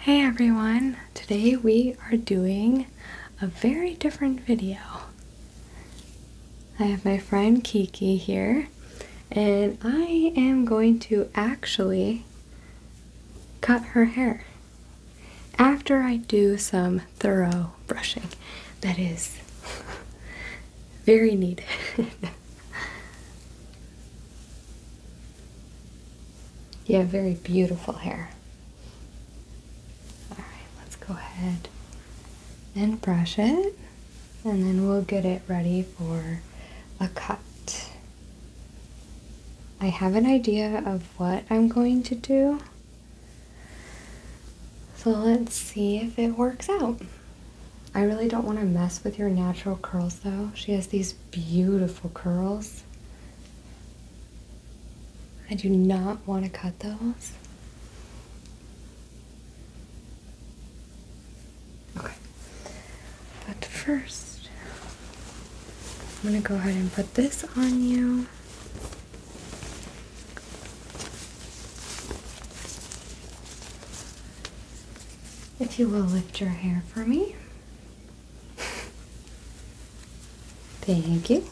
Hey everyone! Today we are doing a very different video. I have my friend Kiki here, and I am going to actually cut her hair after I do some thorough brushing that is very needed. You have very beautiful hair. Alright, let's go ahead and brush it, and then we'll get it ready for a cut. I have an idea of what I'm going to do. So let's see if it works out. I really don't want to mess with your natural curls though. She has these beautiful curls. I do not want to cut those. Okay. But first, I'm going to go ahead and put this on you. If you will lift your hair for me. Thank you.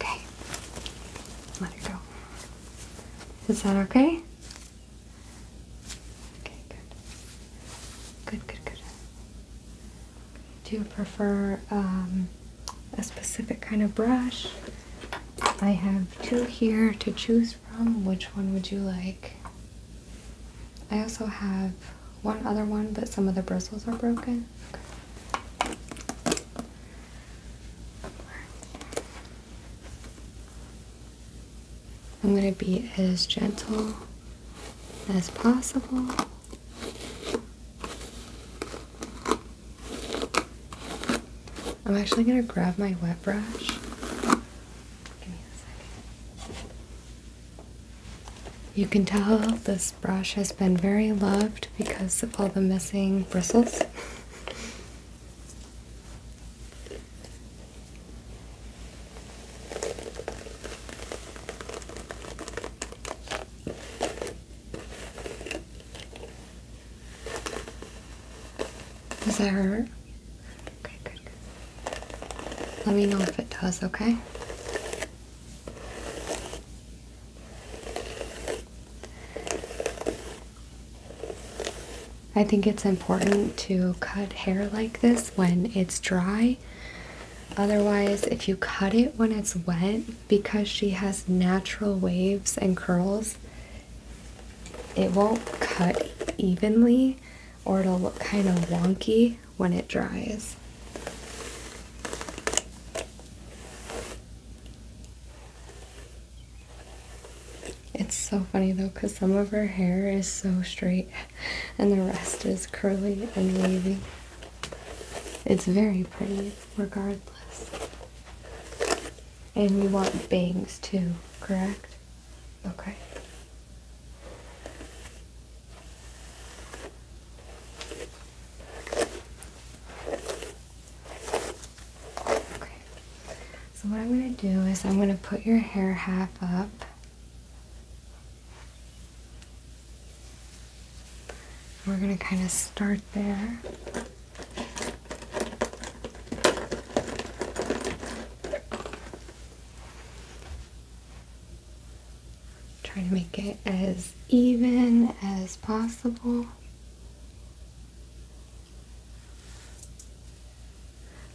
Okay. Let it go. Is that okay? Okay, good. Good, good, good. Do you prefer um, a specific kind of brush? I have two here to choose from. Which one would you like? I also have one other one, but some of the bristles are broken. I'm going to be as gentle as possible. I'm actually going to grab my wet brush. You can tell this brush has been very loved because of all the missing bristles. Does that hurt? Okay, good. Let me know if it does, okay? I think it's important to cut hair like this when it's dry. Otherwise, if you cut it when it's wet, because she has natural waves and curls, it won't cut evenly or it'll look kind of wonky when it dries. It's so funny though because some of her hair is so straight and the rest is curly and wavy. It's very pretty, regardless. And you want bangs too, correct? Okay. Okay. So what I'm going to do is I'm going to put your hair half up we're going to kind of start there. Try to make it as even as possible.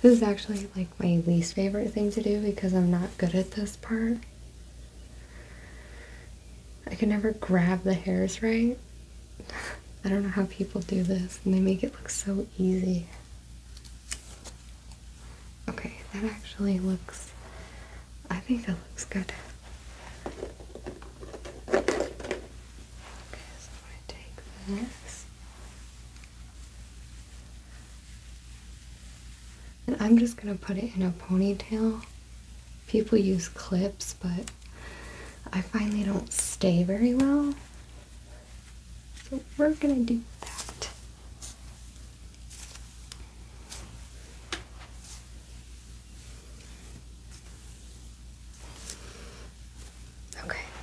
This is actually like my least favorite thing to do because I'm not good at this part. I can never grab the hairs right. I don't know how people do this and they make it look so easy. Okay, that actually looks, I think that looks good. Okay, so i take this and I'm just gonna put it in a ponytail. People use clips, but I find they don't stay very well. So we're gonna do that. Okay.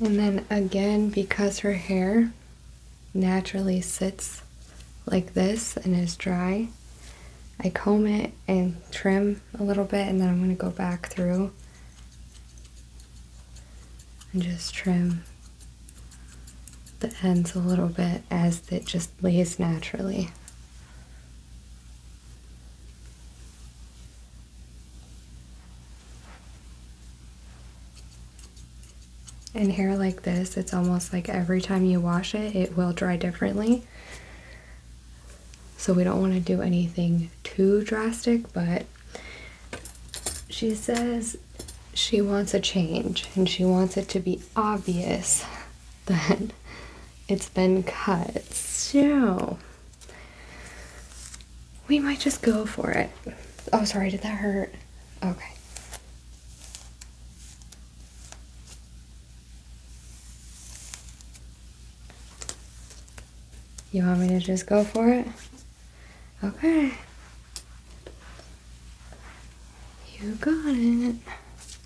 And then again, because her hair naturally sits like this and is dry, I comb it and trim a little bit and then I'm going to go back through and just trim the ends a little bit as it just lays naturally. In hair like this, it's almost like every time you wash it, it will dry differently. So we don't want to do anything too drastic, but she says she wants a change and she wants it to be obvious that it's been cut. So we might just go for it. Oh, sorry, did that hurt? Okay. You want me to just go for it? Okay. You got it.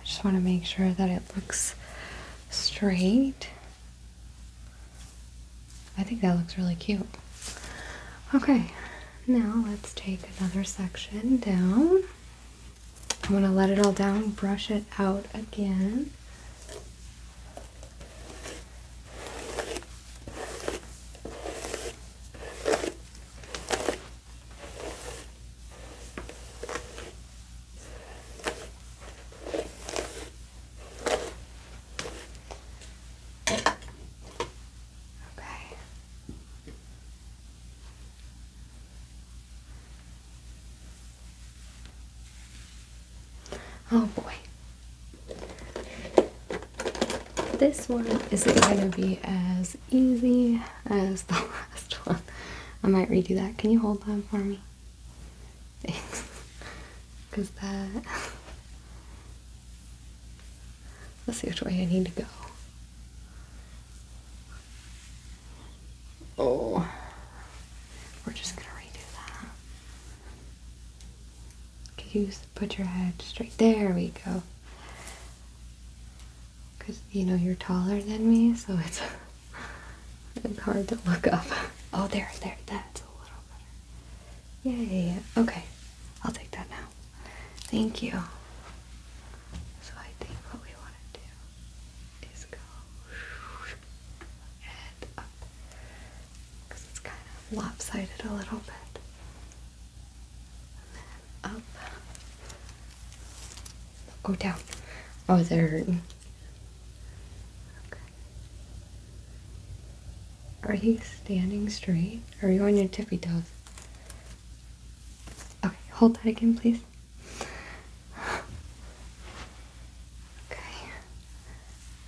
I just want to make sure that it looks straight. I think that looks really cute. Okay, now let's take another section down. I'm going to let it all down, brush it out again. Okay. Oh boy. This one isn't going to be as easy as the last one. I might redo that. Can you hold that for me? Thanks. Because that. Let's see which way I need to go. Oh. We're just going to redo that. Could you put your head straight? There we go. Because, you know, you're taller than me, so it's, it's hard to look up. Oh, there, there, that's a little better. Yay, okay. I'll take that now. Thank you. So I think what we want to do is go and up because it's kind of lopsided a little bit and up. Go down. Oh, they're hurting. Okay. Are you standing straight? are you on your tippy toes? Okay, hold that again, please. Okay.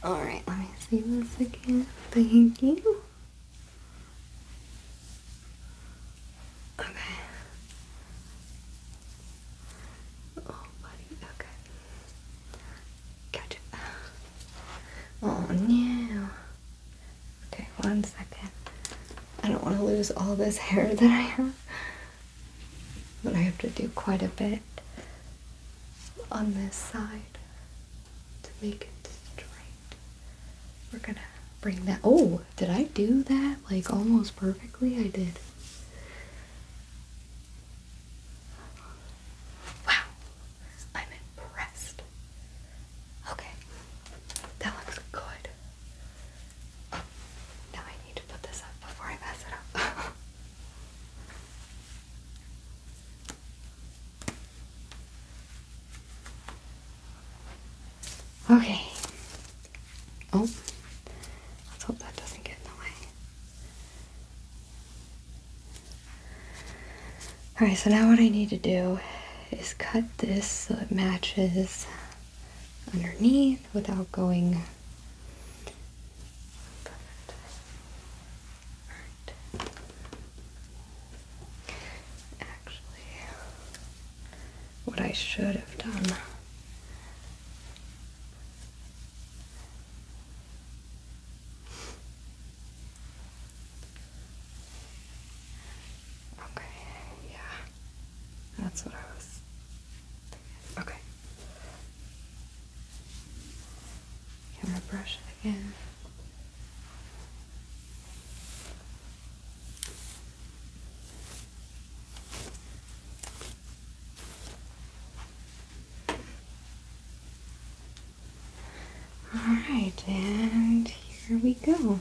Alright, let me see this again. Thank you. Okay. Oh, buddy. Okay. Gotcha. Oh no. Okay, one second. I don't want to lose all this hair that I have. But I have to do quite a bit on this side to make it straight. We're gonna bring that. Oh, did I do that like almost perfectly? I did. Wow, I'm impressed. Okay, that looks good. now I need to put this up before I mess it up. Okay. Oh, let's hope that doesn't get in the way. Alright, so now what I need to do is cut this so it matches underneath without going Actually, what I should have done okay yeah that's what I was okay can again all right, and here we go.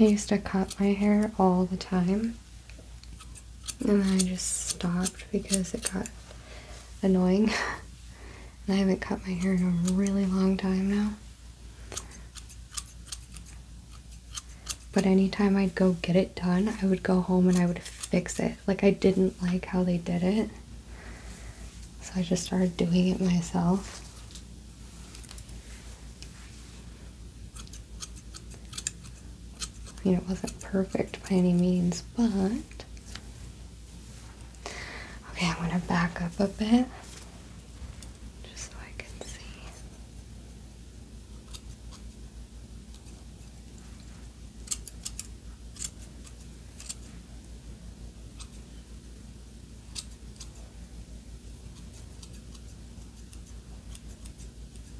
I used to cut my hair all the time, and then I just stopped because it got annoying. and I haven't cut my hair in a really long time now. But anytime I'd go get it done, I would go home and I would fix it. Like, I didn't like how they did it. So I just started doing it myself. I mean, it wasn't perfect by any means, but. Okay, i want to back up a bit just so I can see.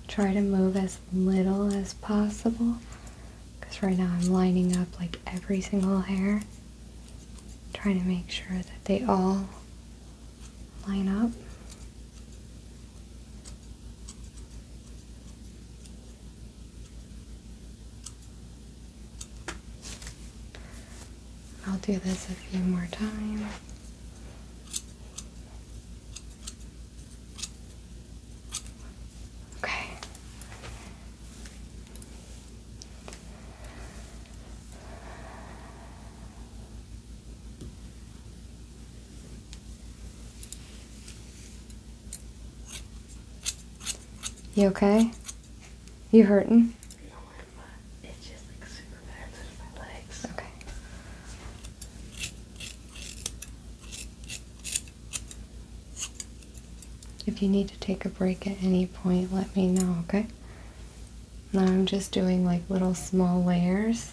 Try to move as little as possible because right now I'm lining up like every single hair trying to make sure that they all line up. I'll do this a few more times. Okay. You okay? You hurting? Okay. If you need to take a break at any point, let me know, okay? Now I'm just doing like little small layers.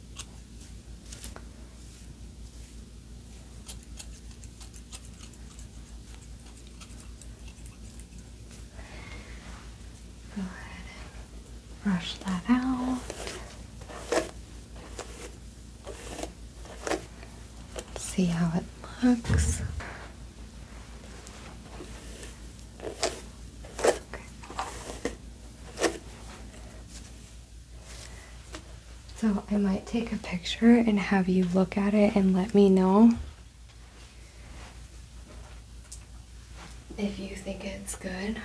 Go ahead and brush that out. see how it looks. Okay. So I might take a picture and have you look at it and let me know if you think it's good.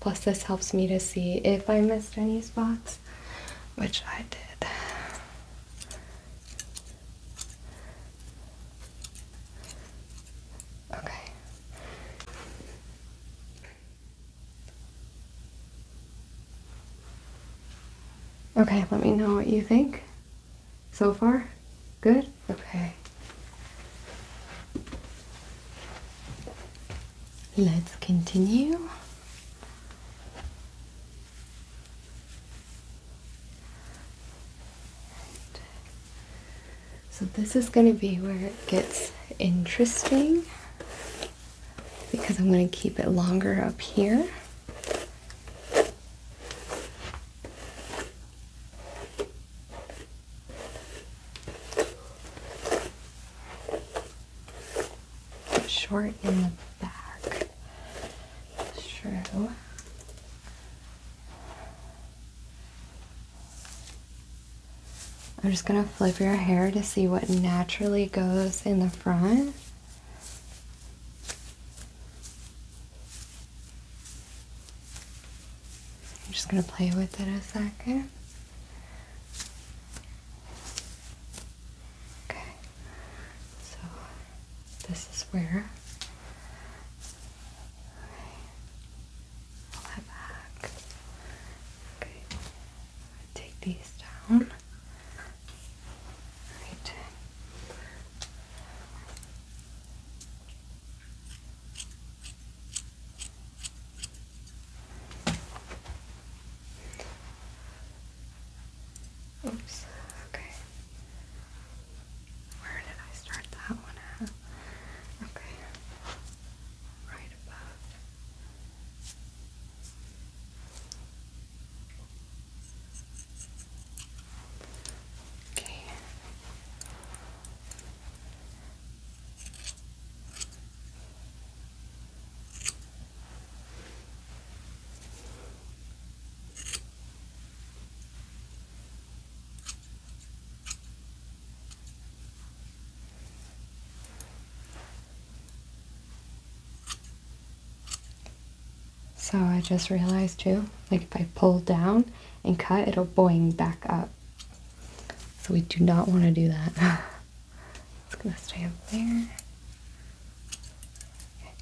Plus, this helps me to see if I missed any spots, which I did. Okay. Okay, let me know what you think. So far, good? Okay. Let's continue. So this is going to be where it gets interesting because I'm going to keep it longer up here. Short in the back. True. I'm just gonna flip your hair to see what naturally goes in the front. I'm just gonna play with it a second. Okay, so this is where I'll back. Okay, take these down. Right. Oops, okay. Where did I start that one at? Okay. Right above. Okay. So I just realized too, like if I pull down and cut, it'll boing back up. So we do not want to do that. it's gonna stay up there. Okay.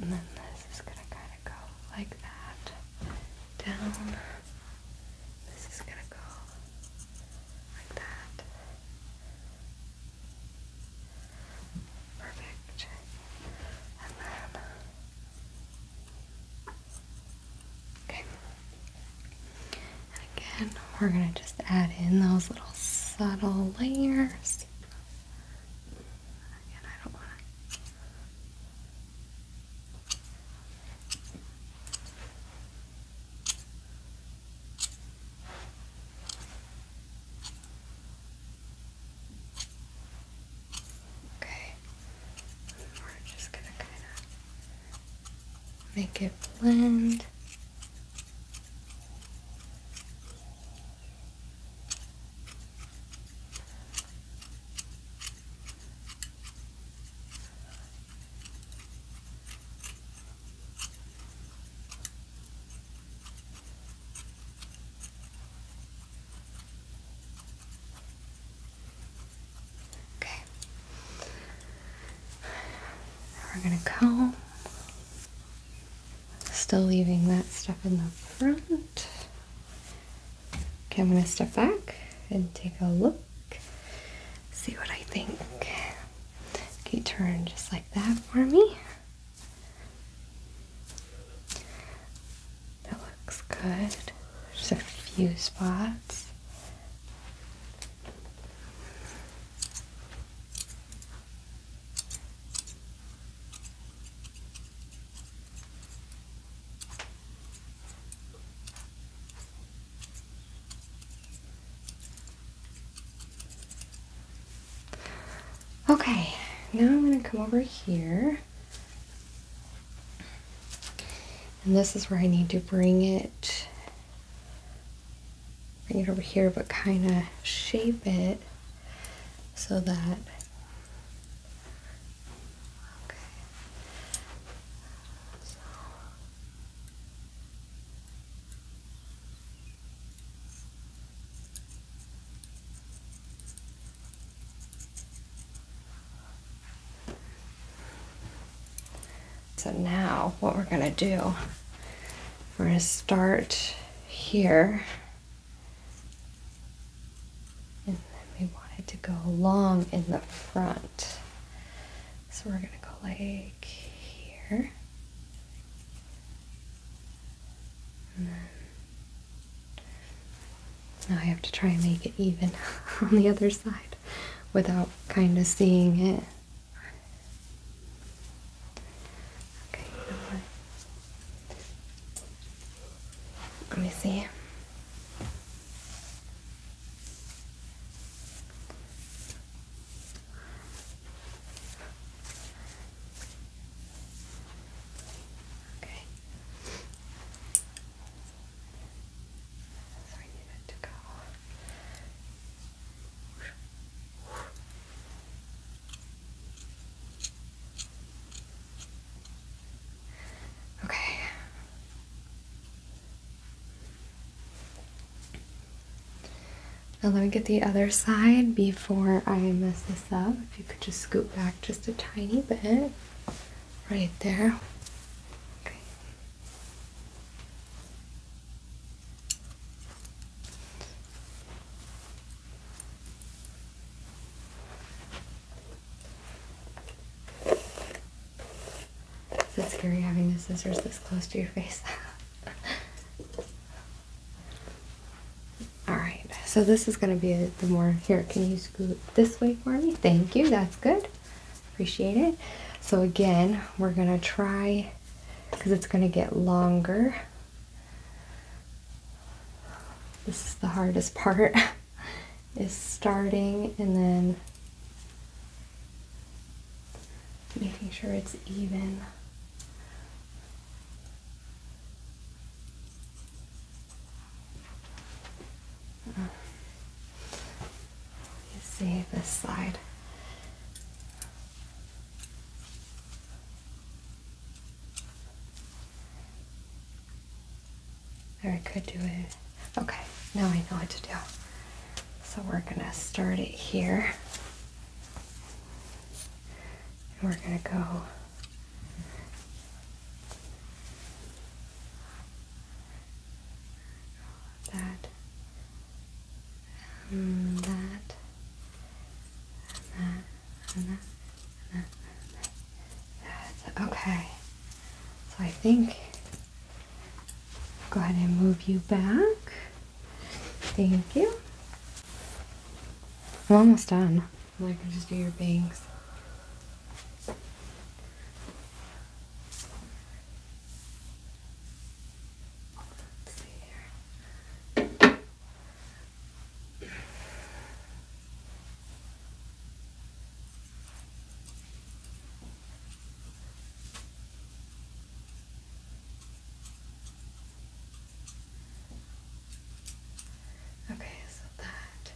And then this is gonna kind of go like that down. This is gonna go like that. Perfect. And then Okay. And again, we're going to just add in those little subtle layers. Again, I don't want to. Okay, we're just gonna kind of make it blend. Okay. we're gonna comb. Still leaving that stuff in the front. Okay, I'm gonna step back and take a look. See what I think. Okay, turn just like that for me. That looks good. Just a few spots. Okay, now I'm going to come over here and this is where I need to bring it, bring it over here, but kind of shape it so that so now what we're gonna do, we're gonna start here. And then we wanted to go along in the front. So we're gonna go like here. And then now I have to try and make it even on the other side without kind of seeing it. Okay, Let me see. Okay. So we need it to go. Okay. Now let me get the other side before I mess this up. If you could just scoop back just a tiny bit right there. Okay. Is scary having the scissors this close to your face? All right, so this is going to be the more here. Can you this way for me. Thank you. That's good. Appreciate it. So again, we're going to try because it's going to get longer. This is the hardest part is starting and then making sure it's even. You see this slide. Or I could do it. Okay, now I know what to do. So we're gonna start it here. And we're gonna go that, and that, and that, and that, and that, okay. So I think go ahead and move you back. Thank you. I'm almost done. I can just do your bangs. Let's Okay, so that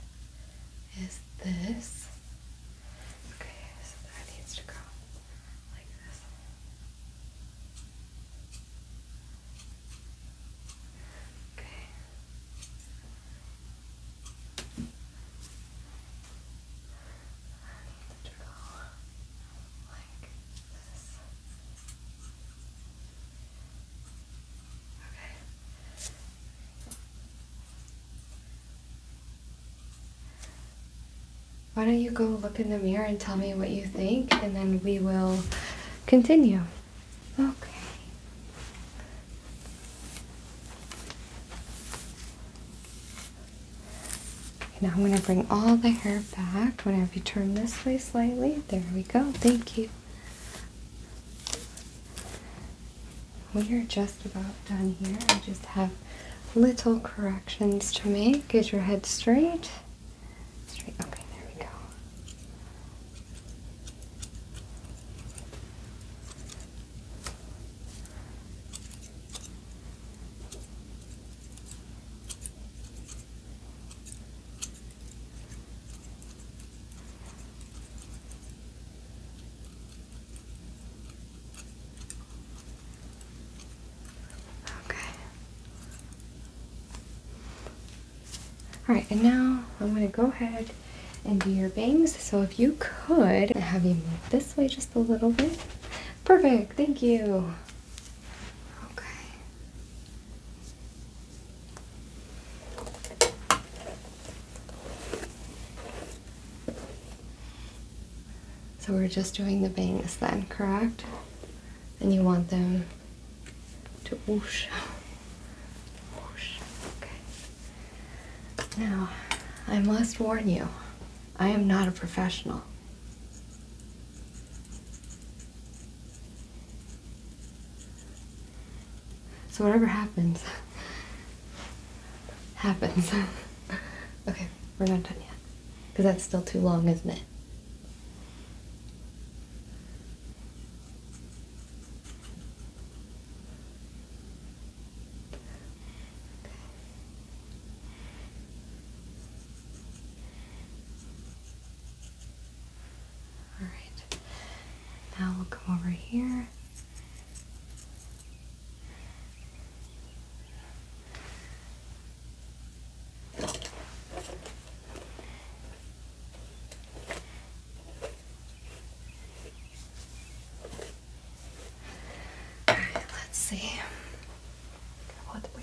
is this. Okay, so that needs to go like this. Okay. That needs to go like this. Okay. Why don't you go look in the mirror and tell me what you think, and then we will continue. Okay. Now I'm going to bring all the hair back. Whenever you turn this way slightly. There we go. Thank you we are just about done here. I just have little corrections to make. Get your head straight. Straight. Okay, there we go. Okay. Alright, and now I'm going to go ahead and do your bangs. So if you could, have you move this way just a little bit. Perfect, thank you. Okay. So we're just doing the bangs then, correct? And you want them to oosh, Whoosh. Okay. Now, I must warn you, I am not a professional. So whatever happens, happens. okay, we're not done yet. Because that's still too long, isn't it? All right. Now we'll come over here right, let's see what we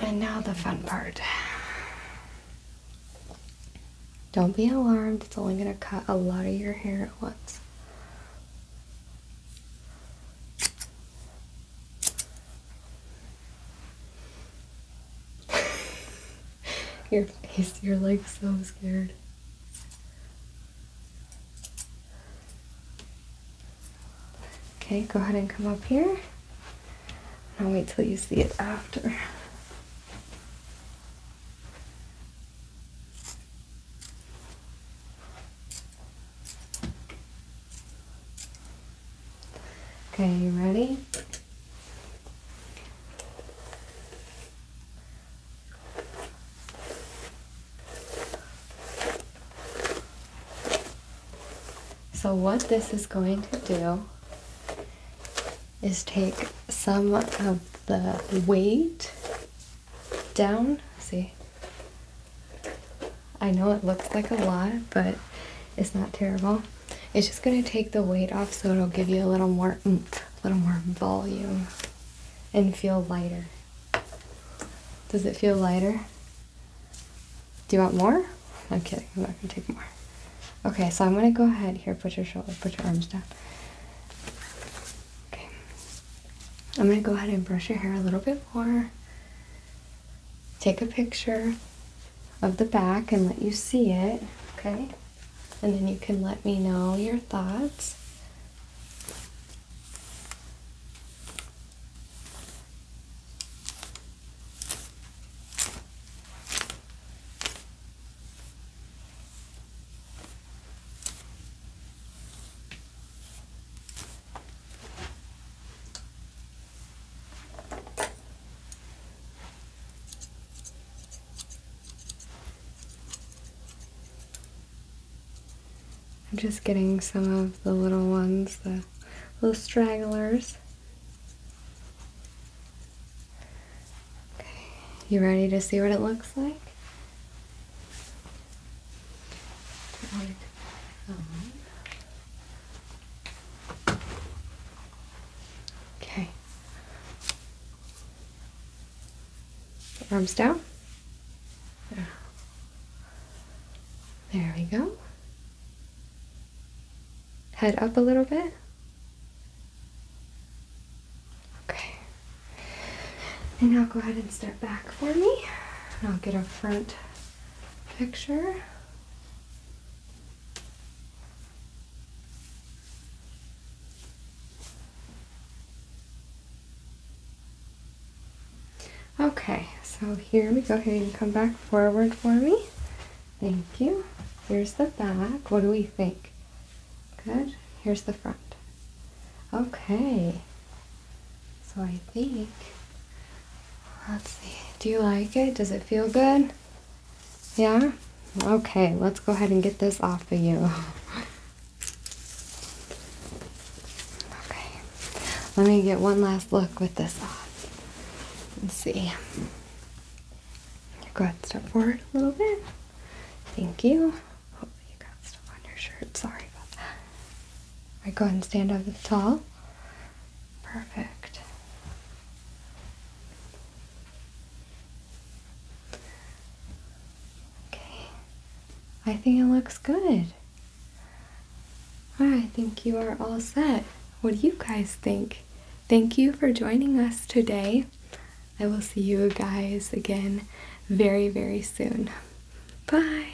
And now the fun part. Don't be alarmed, it's only going to cut a lot of your hair at once. Your face, you're like so scared. Okay, go ahead and come up here. I'll wait till you see it after. Okay, you ready? So what this is going to do is take some of the weight down, see, I know it looks like a lot, but it's not terrible. It's just going to take the weight off so it'll give you a little more a mm, little more volume, and feel lighter. Does it feel lighter? Do you want more? I'm kidding, I'm not going to take more. Okay, so I'm going to go ahead here, put your shoulders. put your arms down. Okay. I'm going to go ahead and brush your hair a little bit more take a picture of the back and let you see it, okay? And then you can let me know your thoughts. I'm just getting some of the little ones, the little stragglers. Okay, you ready to see what it looks like? Um, Okay. Arms down. There. we go. Head up a little bit. Okay. And now go ahead and step back for me. And I'll get up front picture. Okay, so here we go. Here you come back forward for me. Thank you. Here's the back. What do we think? Good. Here's the front. Okay. So I think, let's see, do you like it? Does it feel good? Yeah? Okay, let's go ahead and get this off of you. okay, let me get one last look with this off. Let's see. Go ahead, step forward a little bit. Thank you. Oh, you got stuff on your shirt. Sorry about that. All right, go ahead and stand up tall. Perfect. Okay. I think it looks good. I think you are all set. What do you guys think? Thank you for joining us today. I will see you guys again very, very soon. Bye!